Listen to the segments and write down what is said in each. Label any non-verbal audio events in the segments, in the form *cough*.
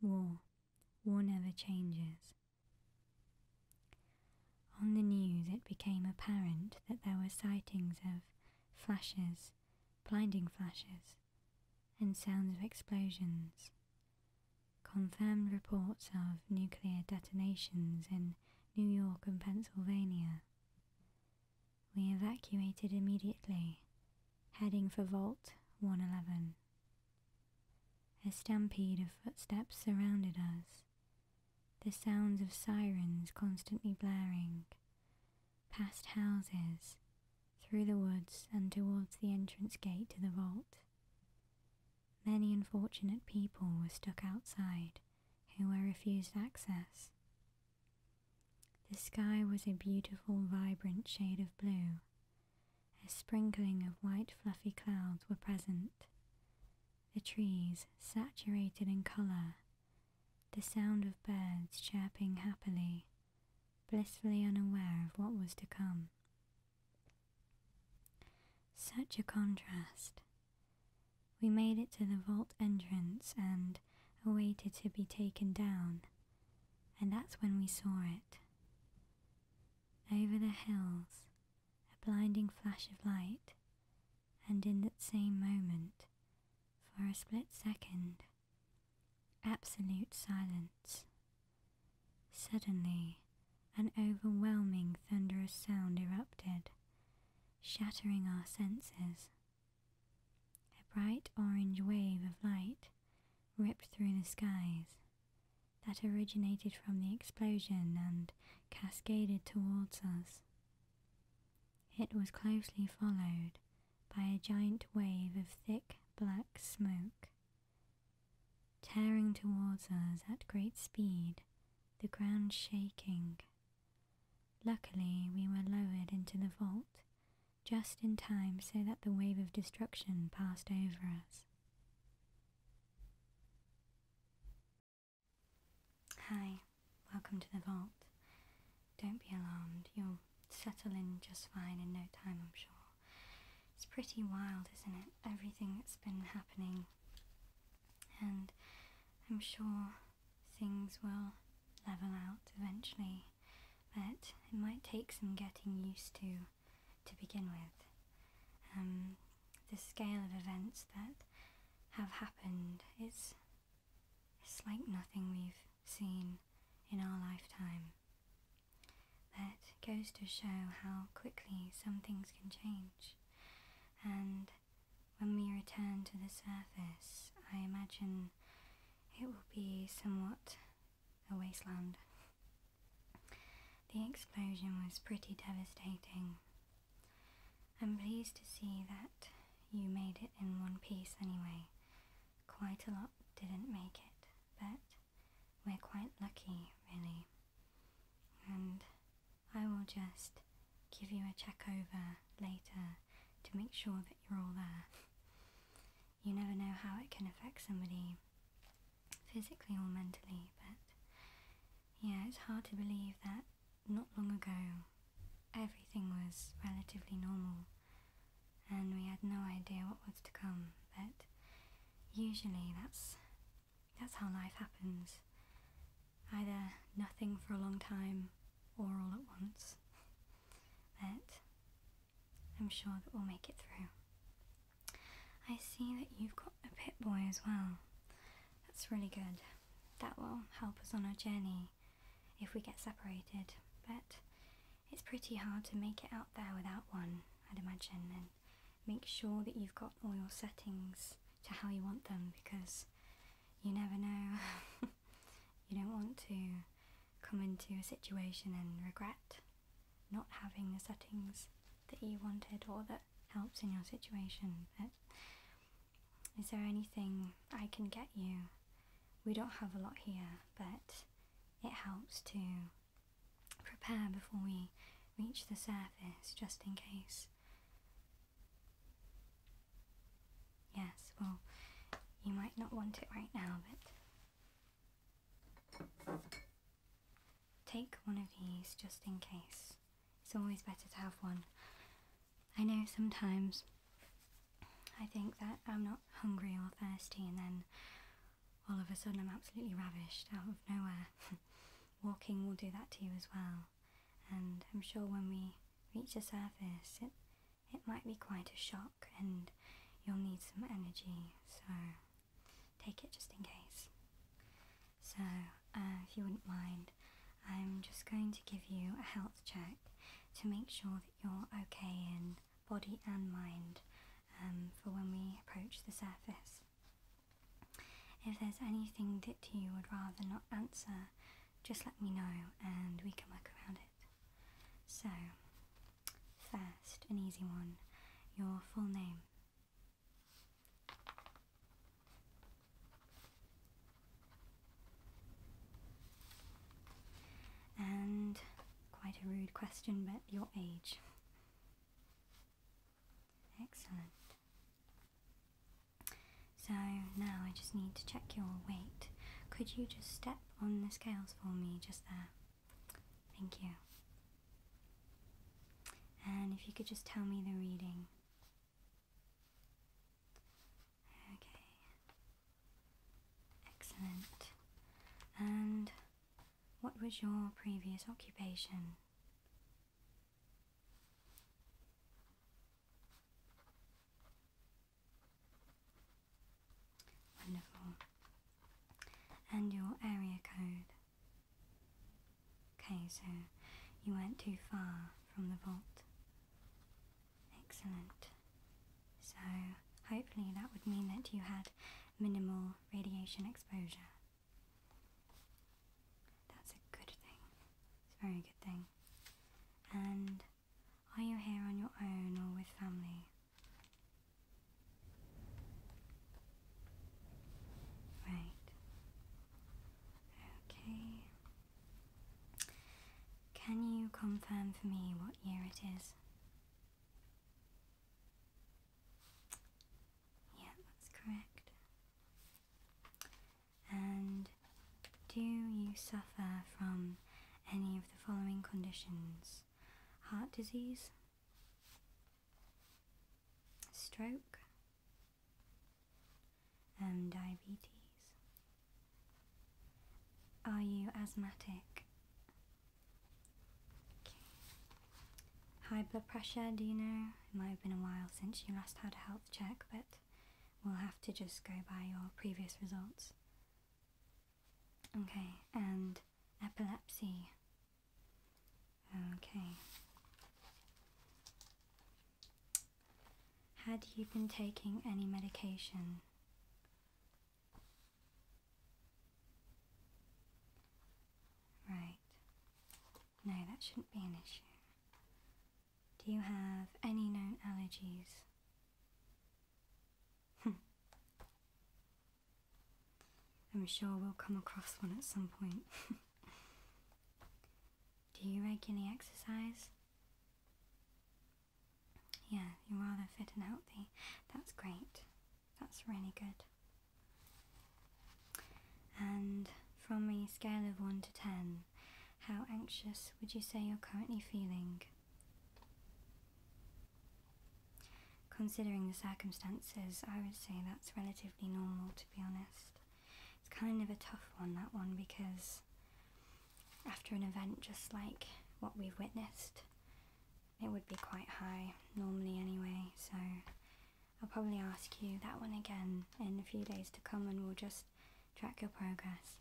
War. War never changes. On the news, it became apparent that there were sightings of flashes, blinding flashes, and sounds of explosions. Confirmed reports of nuclear detonations in New York and Pennsylvania. We evacuated immediately heading for Vault 111. A stampede of footsteps surrounded us, the sounds of sirens constantly blaring, past houses, through the woods and towards the entrance gate to the vault. Many unfortunate people were stuck outside who were refused access. The sky was a beautiful vibrant shade of blue a sprinkling of white fluffy clouds were present. The trees saturated in colour, the sound of birds chirping happily, blissfully unaware of what was to come. Such a contrast. We made it to the vault entrance and awaited to be taken down and that's when we saw it. Over the hills, a blinding flash of light, and in that same moment, for a split second, absolute silence. Suddenly, an overwhelming thunderous sound erupted, shattering our senses. A bright orange wave of light ripped through the skies that originated from the explosion and cascaded towards us. It was closely followed by a giant wave of thick black smoke. Tearing towards us at great speed, the ground shaking. Luckily, we were lowered into the vault just in time so that the wave of destruction passed over us. Hi, welcome to the vault. Don't be alarmed, you'll settle in just fine in no time, I'm sure. It's pretty wild, isn't it? Everything that's been happening. And I'm sure things will level out eventually. But it might take some getting used to to begin with. Um, the scale of events that have happened is it's like nothing we've seen in our lifetime. That goes to show how quickly some things can change. And when we return to the surface, I imagine it will be somewhat a wasteland. The explosion was pretty devastating. I'm pleased to see that you made it in one piece anyway. Quite a lot didn't make it, but we're quite lucky, really. And I will just give you a check over later to make sure that you're all there you never know how it can affect somebody physically or mentally. But yeah, it's hard to believe that not long ago everything was relatively normal and we had no idea what was to come. But usually that's that's how life happens. Either nothing for a long time or all at once. *laughs* But I'm sure that we'll make it through. I see that you've got a pit boy as well. That's really good. That will help us on our journey if we get separated, but it's pretty hard to make it out there without one, I'd imagine, and make sure that you've got all your settings to how you want them because you never know. *laughs* you don't want to come into a situation and regret not having the settings that you wanted or that helps in your situation. is there anything I can get you? We don't have a lot here, but it helps to prepare before we reach the surface just in case. Yes, well, you might not want it right now, but Take one of these just in case. It's always better to have one. I know sometimes I think that I'm not hungry or thirsty, and then all of a sudden I'm absolutely ravished out of nowhere. *laughs* Walking will do that to you as well, and I'm sure when we reach the surface, it, it might be quite a shock, and you'll need some energy, so take it just in case. So, uh, if you wouldn't mind, I'm just going to give you a health check to make sure that you're okay in body and mind um, for when we approach the surface. If there's anything that you would rather not answer, just let me know and we can work around it. So, First, an easy one your full name. And quite a rude question, but your age. Excellent. So now I just need to check your weight. Could you just step on the scales for me just there? Thank you. And if you could just tell me the reading. Okay. Excellent. And what was your previous occupation? Wonderful. And your area code. Okay, so you weren't too far from the vault. Excellent. So hopefully that would mean that you had minimal radiation exposure. That's a good thing. It's a very good thing. And are you here on your own or with family? Right. Okay. Can you confirm for me what year it is? Yeah, that's correct. And do you suffer from any of the following conditions? heart disease, stroke, and diabetes. Are you asthmatic? High blood pressure, do you know? It might have been a while since you last had a health check, but we'll have to just go by your previous results. Okay, and epilepsy. Okay. Had you been taking any medication? Right. No, that shouldn't be an issue. Do you have any known allergies? *laughs* I'm sure we'll come across one at some point. *laughs* Do you make any exercise? Yeah, you're rather fit and healthy. That's great. That's really good. And from a scale of 1 to 10, how anxious would you say you're currently feeling? Considering the circumstances, I would say that's relatively normal to be honest. It's kind of a tough one, that one, because after an event just like what we've witnessed, it would be quite high, normally anyway, so I'll probably ask you that one again in a few days to come and we'll just track your progress.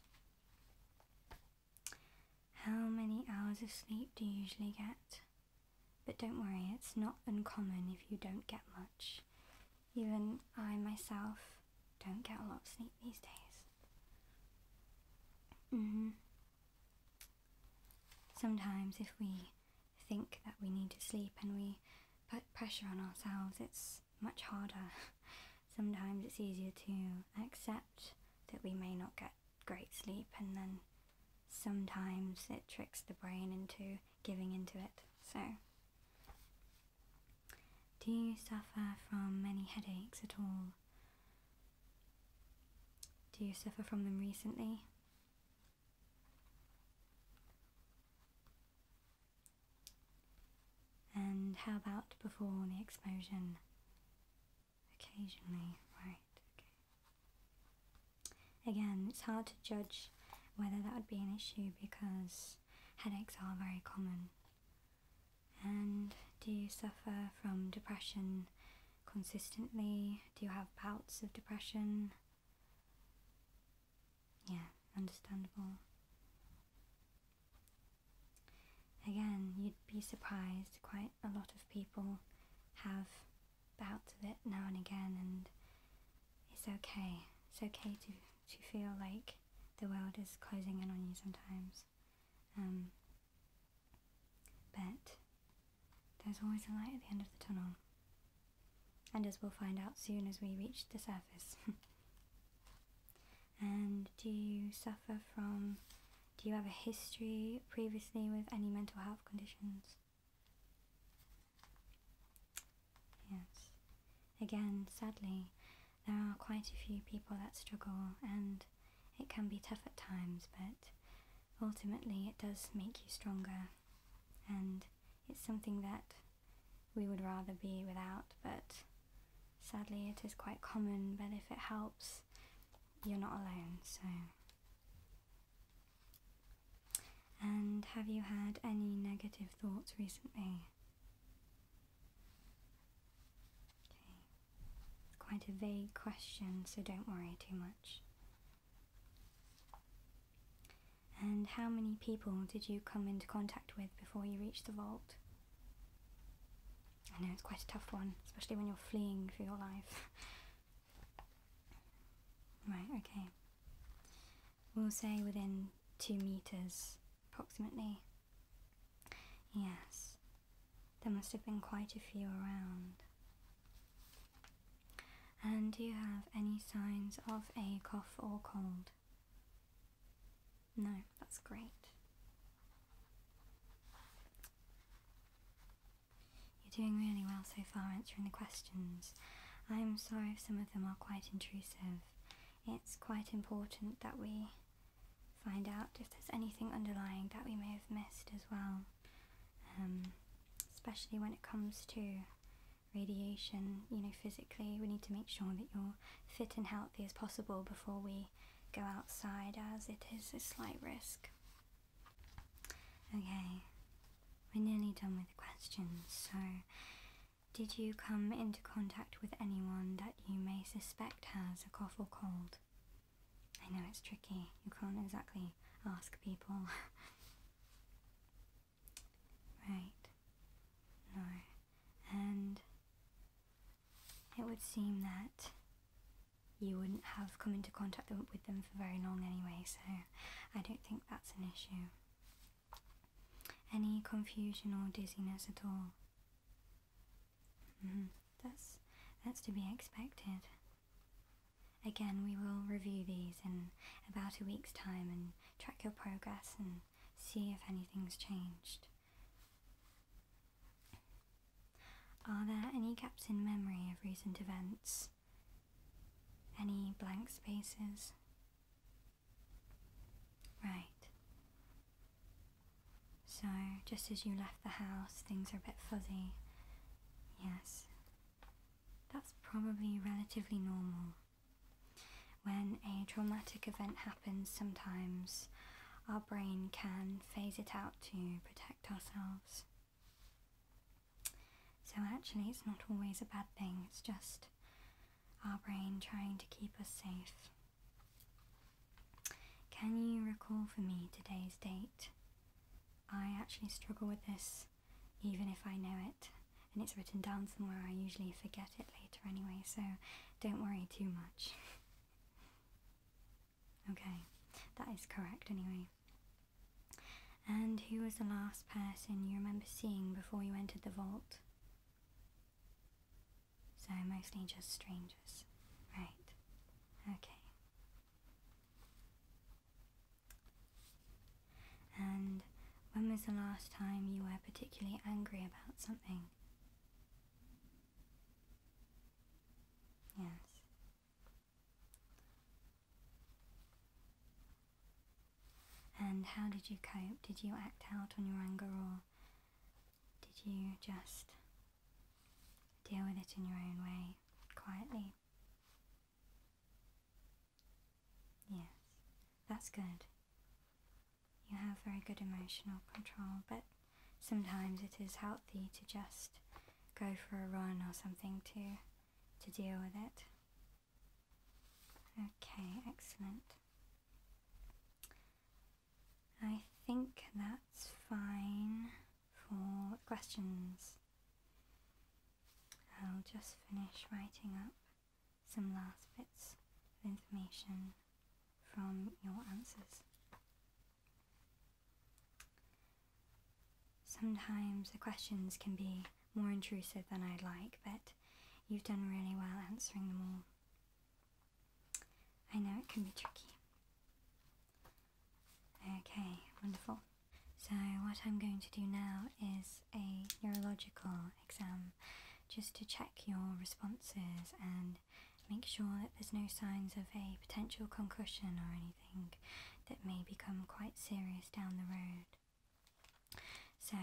How many hours of sleep do you usually get? But don't worry, it's not uncommon if you don't get much. Even I myself don't get a lot of sleep these days. Mm-hmm. Sometimes, if we think that we need to sleep and we put pressure on ourselves, it's much harder. *laughs* Sometimes it's easier to accept that we may not get great sleep, and then sometimes it tricks the brain into giving into it. So, do you suffer from many headaches at all? Do you suffer from them recently? And how about before the explosion? Occasionally, right, okay. Again, it's hard to judge whether that would be an issue because headaches are very common. And do you suffer from depression consistently? Do you have bouts of depression? Yeah, understandable again, you'd be surprised. Quite a lot of people have bouts of it now and again, and it's okay. It's okay to, to feel like the world is closing in on you sometimes. Um, but there's always a light at the end of the tunnel. And as we'll find out soon as we reach the surface. *laughs* and do you suffer from do you have a history previously with any mental health conditions? Yes. Again, sadly, there are quite a few people that struggle and it can be tough at times, but ultimately it does make you stronger and it's something that we would rather be without, but sadly it is quite common, but if it helps you're not alone, so. And have you had any negative thoughts recently? Okay. quite a vague question, so don't worry too much. And how many people did you come into contact with before you reached the vault? I know it's quite a tough one, especially when you're fleeing for your life. right, okay. We'll say within two meters, approximately. Yes, there must have been quite a few around. And do you have any signs of a cough or cold? No, that's great. You're doing really well so far answering the questions. I'm sorry if some of them are quite intrusive. It's quite important that we find out if there's anything underlying that we may have missed as well, um, especially when it comes to radiation. You know, physically, we need to make sure that you're fit and healthy as possible before we go outside, as it is a slight risk. Okay, we're nearly done with the questions. So, did you come into contact with anyone that you may suspect has a cough or cold? I know it's tricky, you can't exactly ask people. *laughs* right, no. And it would seem that you wouldn't have come into contact with them for very long anyway, so I don't think that's an issue. Any confusion or dizziness at all? Mm, that's that's to be expected. Again, we will review these in about a week's time and track your progress and see if anything's changed. Are there any gaps in memory of recent events? Any blank spaces? Right. So, just as you left the house, things are a bit fuzzy. Yes. That's probably relatively normal. When a traumatic event happens, sometimes our brain can phase it out to protect ourselves. So, actually, it's not always a bad thing, it's just our brain trying to keep us safe. Can you recall for me today's date? I actually struggle with this even if I know it and it's written down somewhere. I usually forget it later anyway, so don't worry too much. *laughs* Okay, that is correct anyway. And who was the last person you remember seeing before you entered the vault? So mostly just strangers. Right. Okay. And when was the last time you were particularly angry about something? Yes. And how did you cope? Did you act out on your anger or did you just deal with it in your own way, quietly? Yes, that's good. You have very good emotional control, but Sometimes it is healthy to just go for a run or something to, to deal with it. Okay, excellent. I think that's fine for questions. I'll just finish writing up some last bits of information from your answers. Sometimes the questions can be more intrusive than I'd like, but you've done really well answering them all. I know it can be tricky. Okay, wonderful. So what I'm going to do now is a neurological exam just to check your responses and make sure that there's no signs of a potential concussion or anything that may become quite serious down the road. So,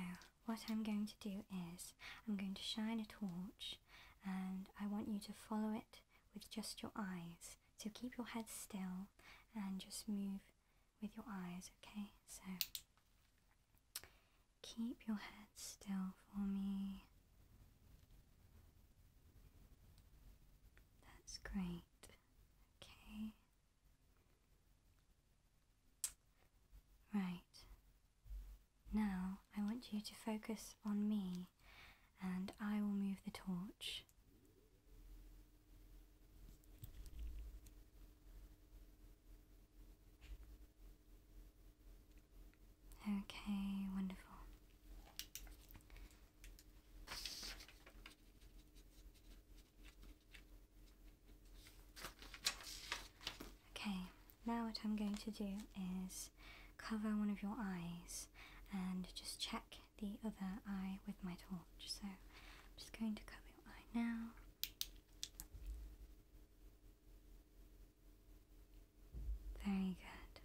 what I'm going to do is I'm going to shine a torch and I want you to follow it with just your eyes. So, keep your head still and just move with your eyes, okay? So, keep your head still for me. That's great. Okay. Right. Now I want you to focus on me and I will move the torch. Okay, wonderful. Okay, now what I'm going to do is cover one of your eyes and just check the other eye with my torch. So I'm just going to cover your eye now. Very good.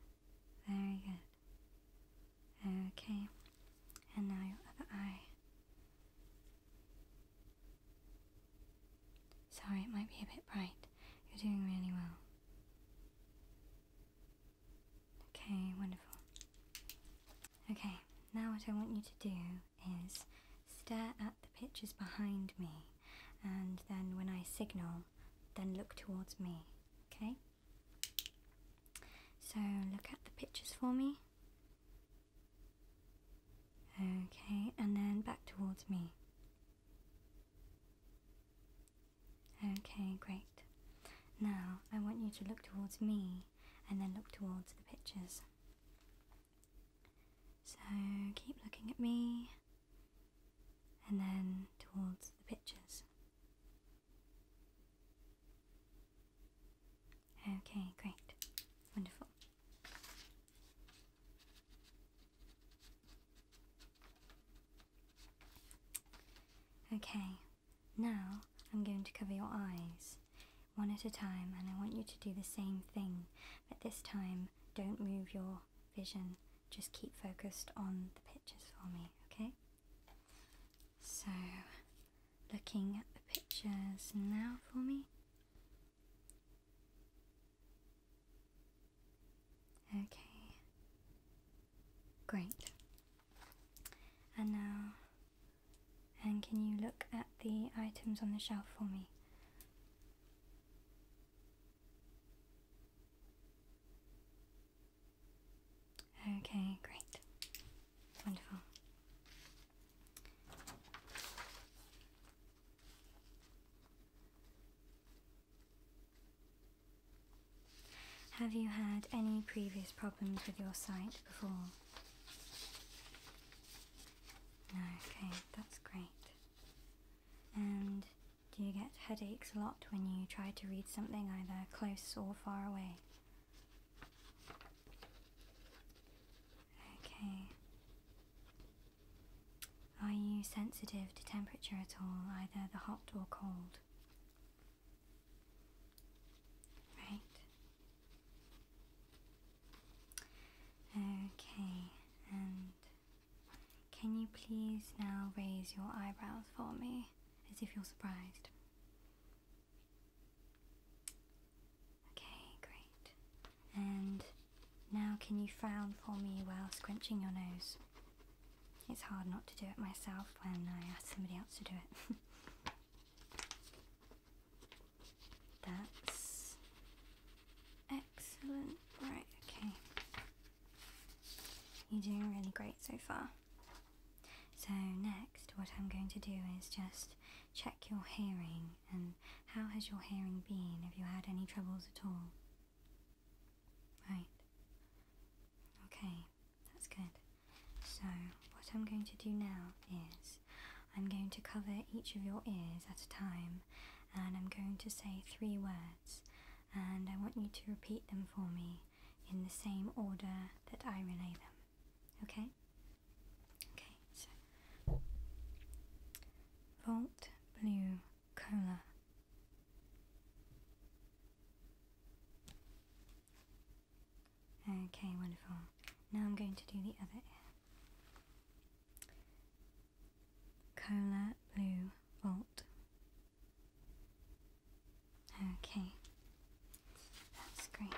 Very good. Okay. And now your other eye. Sorry, it might be a bit bright. You're doing really well. Okay, wonderful. Okay, now what I want you to do is stare at the pictures behind me, and then when I signal, then look towards me, okay? So look at the pictures for me. Okay, and then back towards me. Okay, great. Now I want you to look towards me and then look towards the pictures. So keep looking at me and then towards the pictures. Okay, great. Wonderful. Okay, now I'm going to cover your eyes one at a time and I want you to do the same thing, but this time don't move your vision just keep focused on the pictures for me, okay? So, looking at the pictures now for me. Okay. Great. And now, and can you look at the items on the shelf for me? Okay, great. Wonderful. Have you had any previous problems with your sight before? Okay, that's great. And do you get headaches a lot when you try to read something either close or far away? Okay. Are you sensitive to temperature at all, either the hot or cold? Right. Okay, and can you please now raise your eyebrows for me? as if you're surprised. Okay, great. And now can you frown for me while scrunching your nose? It's hard not to do it myself when I ask somebody else to do it. *laughs* That's excellent. Right, okay. You're doing really great so far. So next, what I'm going to do is just check your hearing and how has your hearing been? Have you had any troubles at all? Right. Okay, that's good. So what I'm going to do now is I'm going to cover each of your ears at a time and I'm going to say three words and I want you to repeat them for me in the same order that I relay them. Okay? Okay, so Vault Blue Cola. Okay, wonderful. Now I'm going to do the other Cola Blue Vault Okay, that's great.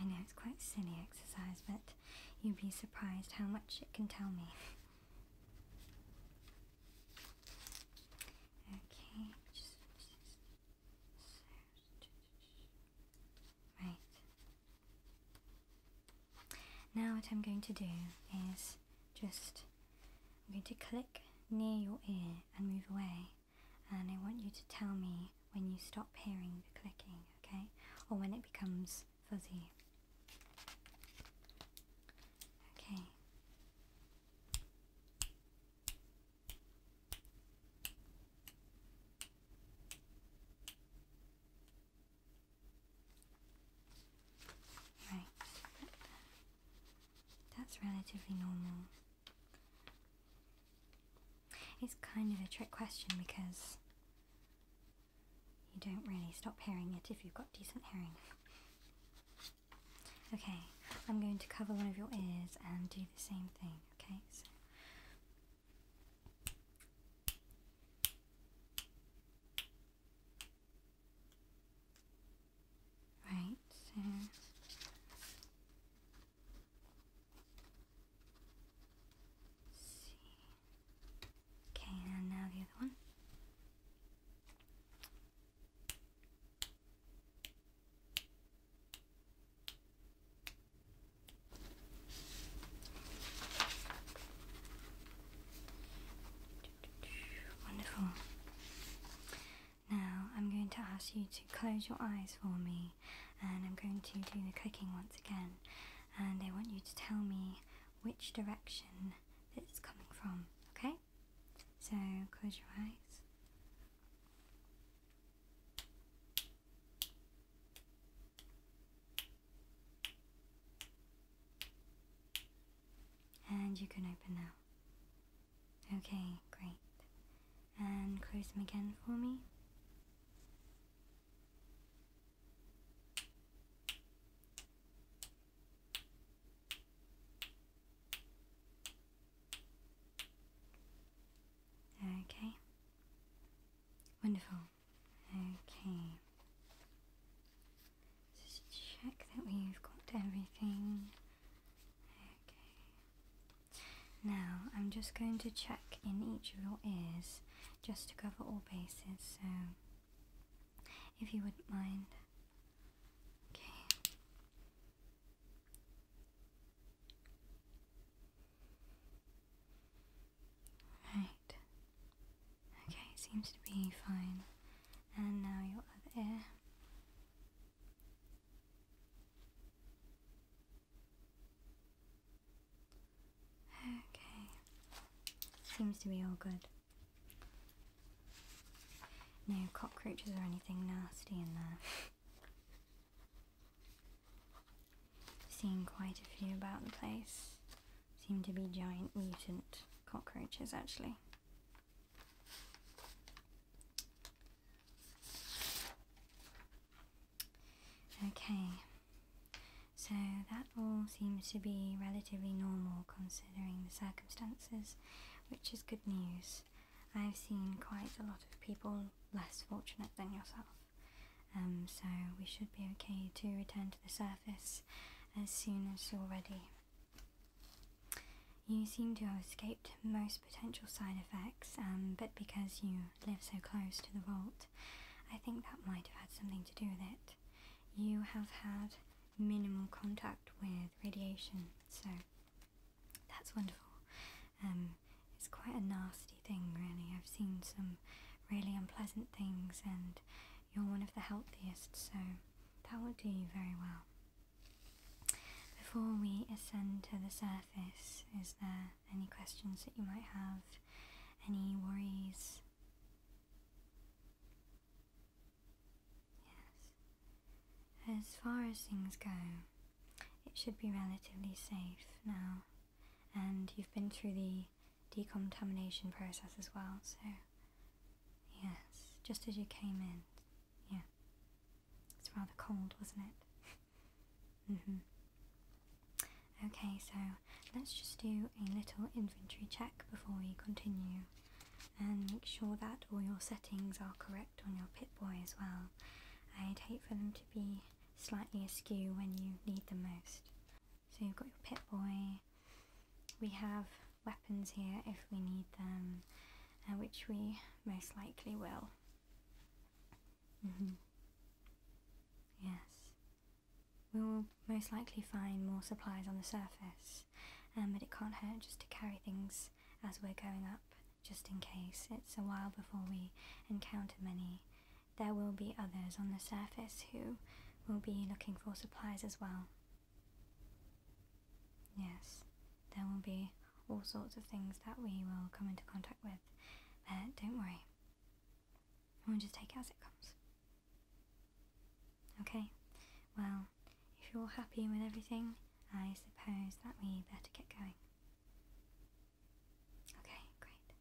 I know it's quite silly exercise, but you'd be surprised how much it can tell me. Okay, Right. Now what I'm going to do is just, I'm going to click near your ear and move away. And I want you to tell me when you stop hearing the clicking, okay? Or when it becomes fuzzy. Okay. Right, that's relatively normal. It's kind of a trick question because you don't really stop hearing it if you've got decent hearing. Okay, I'm going to cover one of your ears and do the same thing, okay? Right there. see. Okay, and now the other one. Wonderful. Now I'm going to ask you to close your eyes for me and I'm going to do the clicking once again and I want you to tell me which direction it's coming from, okay? So close your eyes. And you can open now. Okay, great. And close them again for me. Okay. Wonderful. Okay. Just check that we've got everything. Okay. Now, I'm just going to check in each of your ears just to cover all bases, so if you wouldn't mind. Okay. Right. Okay, seems to be fine. And now your other ear. Okay. Seems to be all good. No cockroaches or anything nasty in there. *laughs* Seen quite a few about the place. Seem to be giant mutant cockroaches, actually. Okay, so that all seems to be relatively normal considering the circumstances, which is good news. I've seen quite a lot of people less fortunate than yourself. Um, so we should be okay to return to the surface as soon as you're ready. You seem to have escaped most potential side effects, um, but because you live so close to the vault, I think that might have had something to do with it. You have had minimal contact with radiation, so that's wonderful. Um, it's quite a nasty thing, really. I've seen some really unpleasant things, and you're one of the healthiest, so that will do you very well. Before we ascend to the surface, is there any questions that you might have? Any worries? Yes. As far as things go, it should be relatively safe now, and you've been through the decontamination process as well. So, yes, just as you came in. Yeah. It's rather cold, wasn't it? *laughs* mm hmm. Okay, so let's just do a little inventory check before we continue and make sure that all your settings are correct on your Pip-Boy as well. I'd hate for them to be slightly askew when you need them most. So you've got your pit boy. We have weapons here if we need them, uh, which we most likely will. Mm-hmm. Yes. We will most likely find more supplies on the surface, um, but it can't hurt just to carry things as we're going up, just in case. It's a while before we encounter many there will be others on the surface who will be looking for supplies as well. Yes, there will be all sorts of things that we will come into contact with, but don't worry. We'll just take it as it comes. Okay, well, if you're happy with everything, I suppose that we better get going. Okay, great.